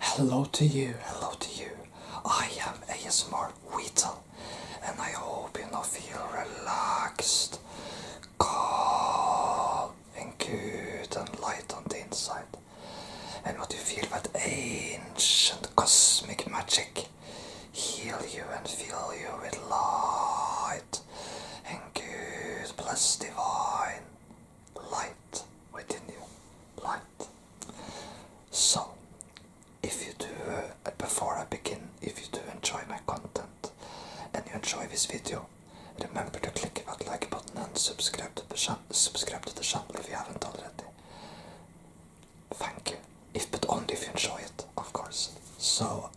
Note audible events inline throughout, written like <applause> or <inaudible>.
Hello to you, hello to you. I am ASMR Weasel and I hope you now feel relaxed, calm and good and light on the inside. And what you feel that ancient cosmic magic heal you and fill you with light and good, bless divine light within you. Light. So, if you do, uh, before I begin, if you do enjoy my content and you enjoy this video, remember to click that like button and subscribe to the, subscribe to the channel if you haven't already. Thank you. If but only if you enjoy it, of course. So,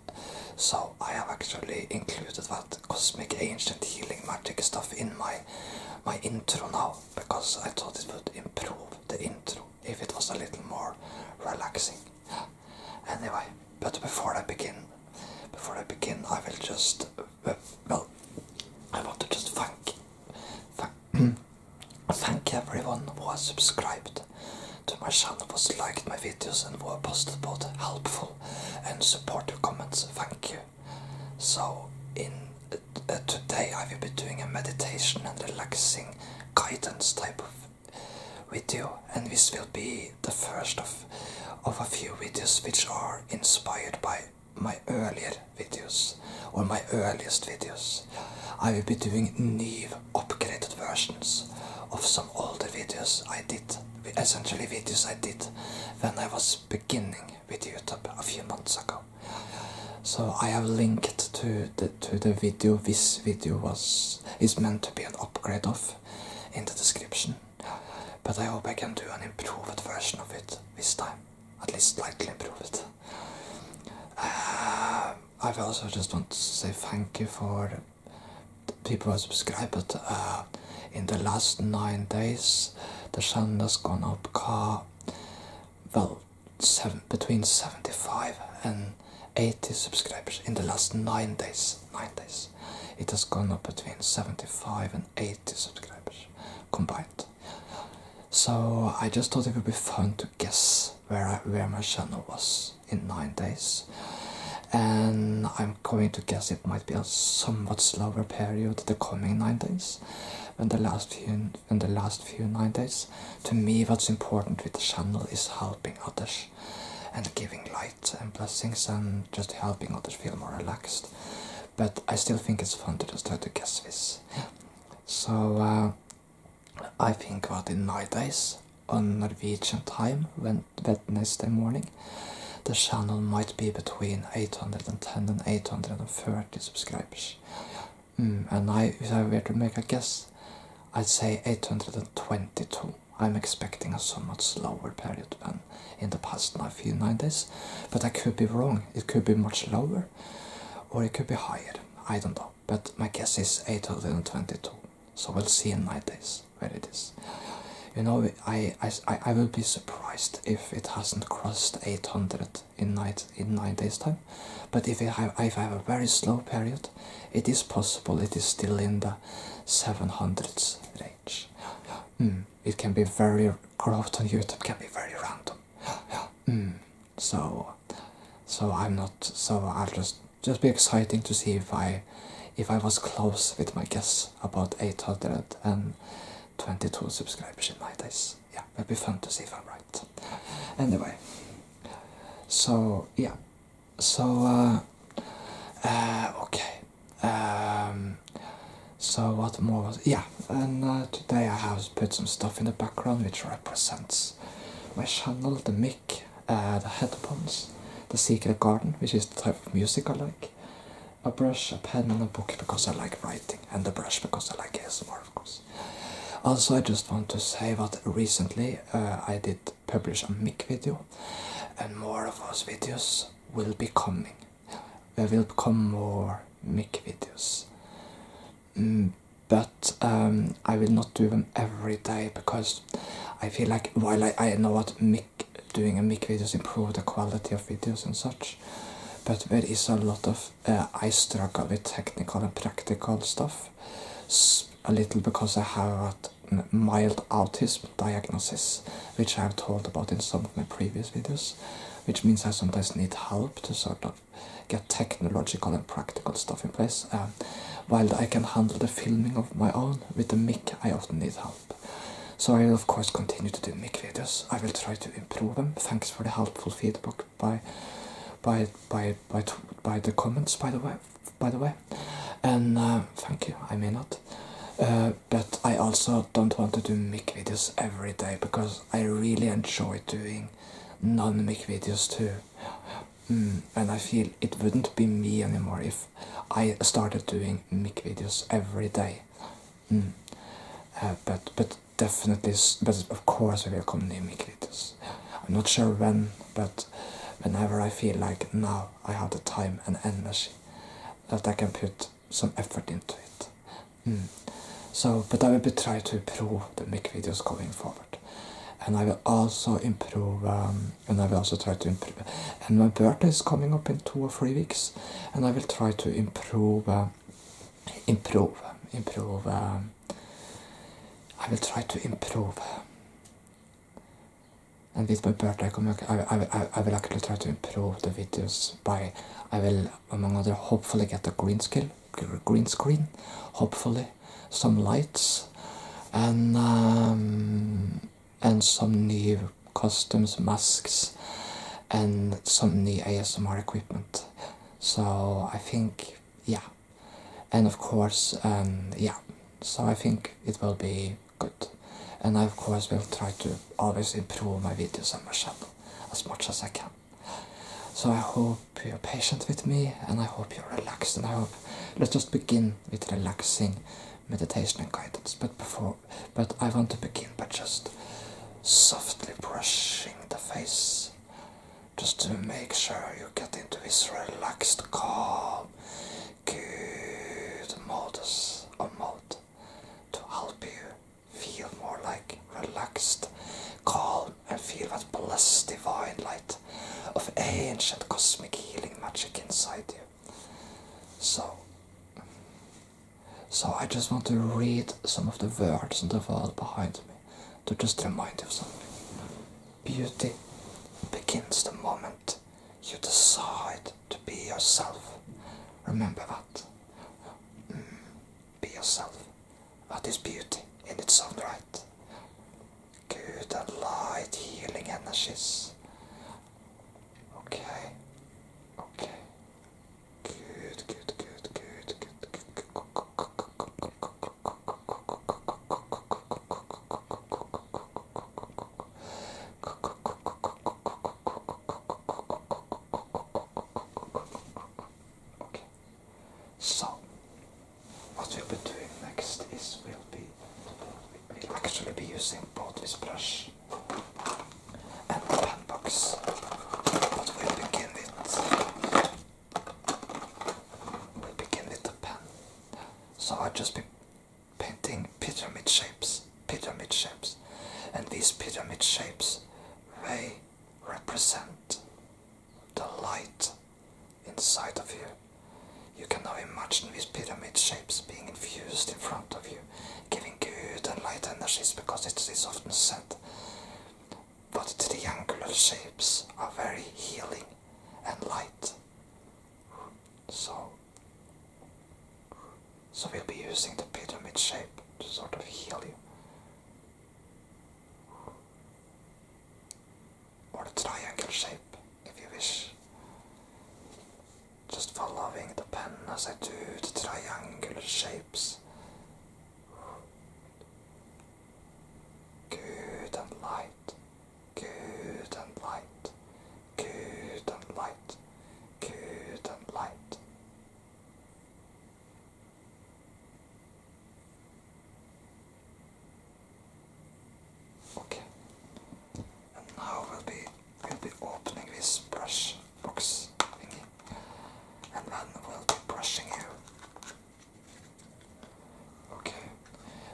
so I have actually included that cosmic ancient healing magic stuff in my my intro now because I thought it would improve the intro if it was a little more relaxing. Anyway, but before I begin, before I begin, I will just uh, well, I want to just thank <clears throat> thank, everyone who has subscribed to my channel, who has liked my videos, and who have posted both helpful and supportive comments. Thank you. So in uh, today I will be doing a meditation and relaxing guidance type of video and this will be the first of, of a few videos which are inspired by my earlier videos or my earliest videos. I will be doing new upgraded versions of some older videos I did, essentially videos I did when I was beginning with YouTube a few months ago. So I have linked to the to the video. This video was is meant to be an upgrade of in the description. But I hope I can do an improved version of it this time. At least slightly improved. Uh, I've also just want to say thank you for people who subscribe, but uh, in the last nine days, the channel has gone up car, uh, well, between 75 and 80 subscribers in the last nine days. Nine days, it has gone up between 75 and 80 subscribers combined. So I just thought it would be fun to guess where where my channel was in nine days, and I'm going to guess it it might be a somewhat slower period the coming nine days than the last few than the last few nine days. To me what's important with the channel is helping others and giving light and blessings and just helping others feel more relaxed. But I still think it's fun to just try to guess this. So uh, I think about in nine days on Norwegian time when Wednesday morning the channel might be between 810 and 830 subscribers. Hmm, and I, if I were to make a guess, I'd say 822. I'm expecting a somewhat slower period than in the past few nine but I could be wrong. It could be much lower, or it could be higher. I don't know, but my guess is 822. So we'll see in my days where it is. You know, I, I, I will be surprised if it hasn't crossed 800 in, night, in 9 days time. But if I, have, if I have a very slow period, it is possible it is still in the 700s range. Hmm, it can be very, growth on YouTube can be very random. Hmm, so, so I'm not, so I'll just, just be exciting to see if I, if I was close with my guess about 800 and 22 subscribers in my days. Yeah, it'll be fun to see if I'm right. Anyway, so yeah, so uh, uh okay. Um, so what more was yeah? And uh, today I have put some stuff in the background which represents my channel, the mic, uh, the headphones, the secret garden, which is the type of music I like, a brush, a pen, and a book because I like writing, and the brush because I like ASMR, of course. Also, I just want to say that recently uh, I did publish a mic video, and more of those videos will be coming. There will come more mic videos. Mm, but um, I will not do them every day because I feel like while I, I know what mic doing a mic videos improve the quality of videos and such but there is a lot of uh, i struggle with technical and practical stuff A little because i have a mild autism diagnosis which i've talked about in some of my previous videos which means i sometimes need help to sort of get technological and practical stuff in place um, while i can handle the filming of my own with the mic i often need help so I will of course continue to do make videos. I will try to improve them. Thanks for the helpful feedback by by by by by the comments by the way by the way. And uh, thank you, I may not. Uh, but I also don't want to do make videos every day because I really enjoy doing non-make videos too. Mm, and I feel it wouldn't be me anymore if I started doing mic videos every day. Mm. Uh, but but definitely, but of course I will come near Miklitis. I'm not sure when, but whenever I feel like now I have the time and energy that I can put some effort into it. Mm. So, but I will be try to improve the make videos going forward, and I will also improve. Um, and I will also try to improve. And my birthday is coming up in two or three weeks, and I will try to improve uh, improve improve um, I will try to improve and with my birthday I, I, will actually try to improve the videos by I will among other hopefully get a green screen hopefully some lights and um, and some new costumes, masks, and some new ASMR equipment. So I think, yeah, and of course, um, yeah, so I think it will be good. And I, of course, will try to always improve my videos on my channel as much as I can. So I hope you're patient with me and I hope you're relaxed and I hope let's just begin with relaxing meditation and guidance. But before, but I want to begin by just softly brushing the face, just to make sure you get into this relaxed, calm, good modus or mode to help you feel more like relaxed, calm, and feel that blessed divine light of ancient cosmic healing magic inside you. So, so I just want to read some of the words on the wall behind me to just remind you something. Beauty begins the moment you decide to be yourself. Remember that. Mm, be yourself. That is beauty in its own right. Good light healing energies. Okay. Okay. Okay. So, what we'll be doing next is we'll be we'll actually be using both this brush and the pen box. But will begin with we begin with the pan. So I'll just been painting pyramid shapes, pyramid shapes, and these pyramid shapes they represent the light inside of you. You can now imagine these pyramid shapes being infused in front of you giving good and light energies because it is often said. But triangular shapes are very healing and light. So, so we'll be using the pyramid shape to sort of heal you. Or a triangle shape if you wish just for loving the pen as I do the triangular shapes. Good and light, good and light, good and light, good and light. Okay, and now we'll be we'll be opening this brush box and then we'll be brushing you. Okay,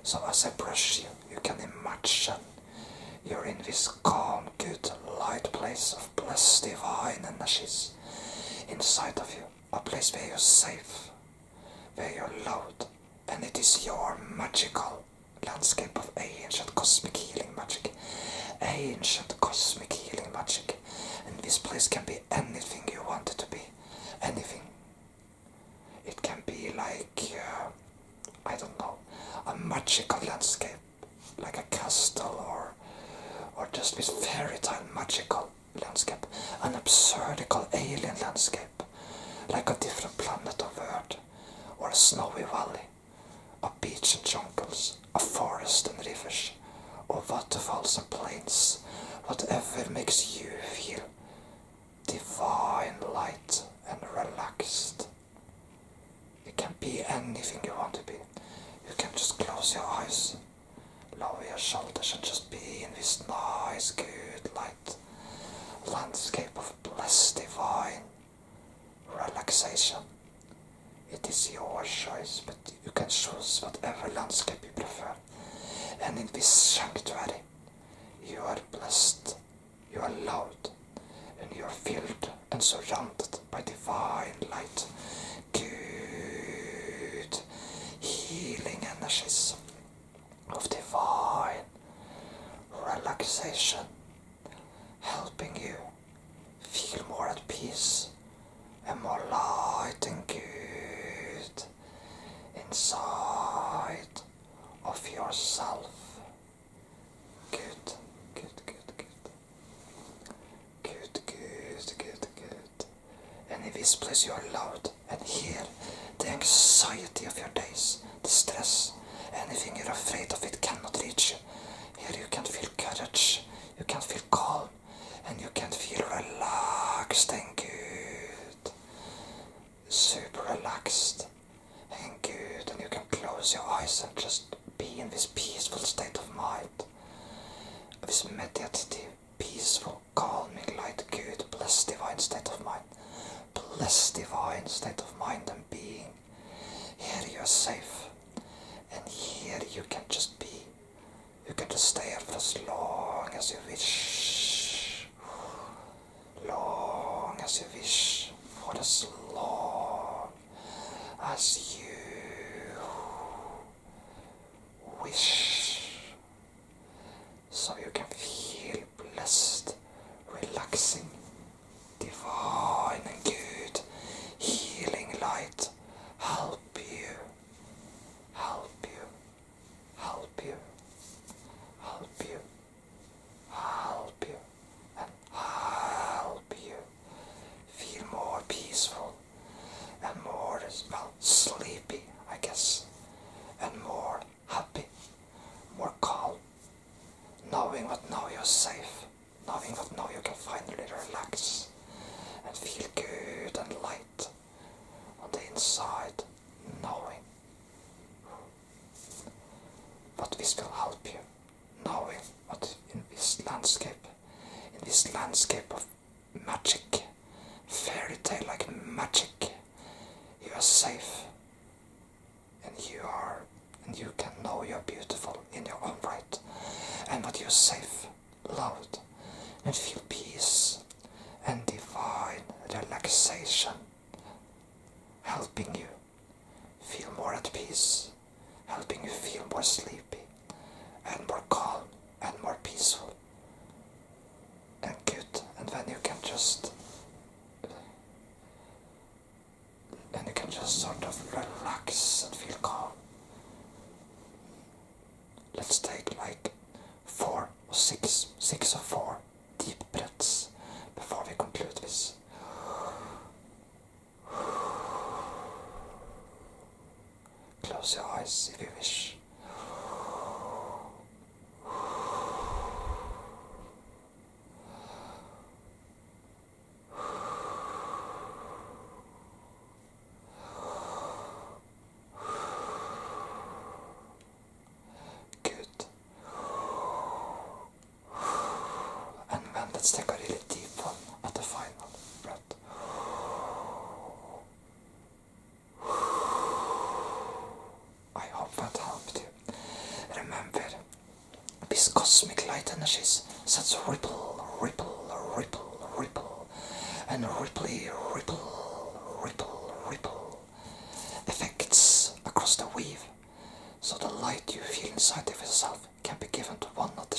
so as I brush you, you can imagine you're in this calm, good, light place of blessed divine energies inside of you, a place where you're safe, where you're loved, and it is your magical landscape of ancient cosmic healing magic ancient cosmic healing magic, and this place can be anything you want it to be. Anything. It can be like, uh, I don't know, a magical landscape, like a castle, or, or just this fairy tale magical landscape, an absurdical alien landscape, like a different planet of Earth, or a snowy valley of beach and jungles, of forest and rivers, of waterfalls and plains, whatever makes you feel divine light and relaxed. It can be anything you want to be. You can just close your eyes, lower your shoulders, and just be in this nice, good light landscape of bliss, divine relaxation. It is your choice, but you can choose whatever landscape you prefer. And in this sanctuary, you are blessed, you are loved, and you are filled and surrounded by divine light, good healing energies of divine relaxation helping you feel more at peace and more light and good inside of yourself. Good, good, good, good. Good, good, good, good. And in this place you are loud and hear the anxiety of your days, the stress, anything you're afraid of, it cannot reach you. Here you can feel courage, you can feel calm, and you can feel relaxed and good. Super relaxed and good. And you can close your eyes and just be in this peaceful state of mind. This meditative, peaceful, calming, light, good, blessed divine state of mind. Blessed divine state of mind and being. Here you're safe, and here you can just be. You can just stay here for as long as you wish. Long as you wish, for as long as you wish. So you can feel blessed, relaxing, divine and good healing light help you help you help you help you help you and help you feel more peaceful and more well sleepy I guess and more happy more calm knowing what now you're safe knowing that now you can finally relax and feel good and light on the inside, knowing. that this will help you, knowing what in this landscape, in this landscape of magic, fairy tale like magic, you are safe and you are and you can know you're beautiful in your own right and that you're safe, loved, and feel peace and divine relaxation helping you feel more at peace, helping you feel more sleepy and more calm and more peaceful and cute. and then you can just and you can just sort of relax and feel calm. Let's take like four or six, six or four deep breaths before we conclude this. Close your eyes if you wish. Good. And then let's take a really deep one at the final breath. I hope that helped you. Remember, these cosmic light energies sets ripple, ripple, ripple, ripple, and ripply, ripple, ripple, ripple effects across the weave. So the light you feel inside of yourself can be given to one another,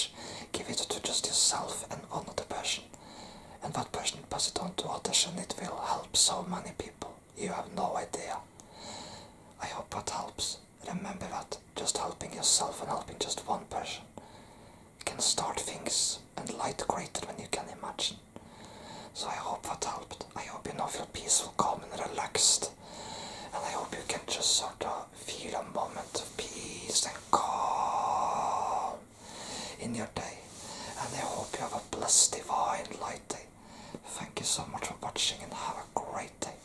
give it to just yourself and one other person. And that person pass it on to others and it will help so many people. You have no idea. I hope that helps. Remember that just helping yourself and helping just one person can start things and light greater than you can imagine. So I hope that helped. I hope you now feel peaceful, calm, and relaxed. And I hope you can just sort of feel a moment of peace and calm in your day. And I hope you have a blessed, divine, light day. Thank you so much for watching and have a great day.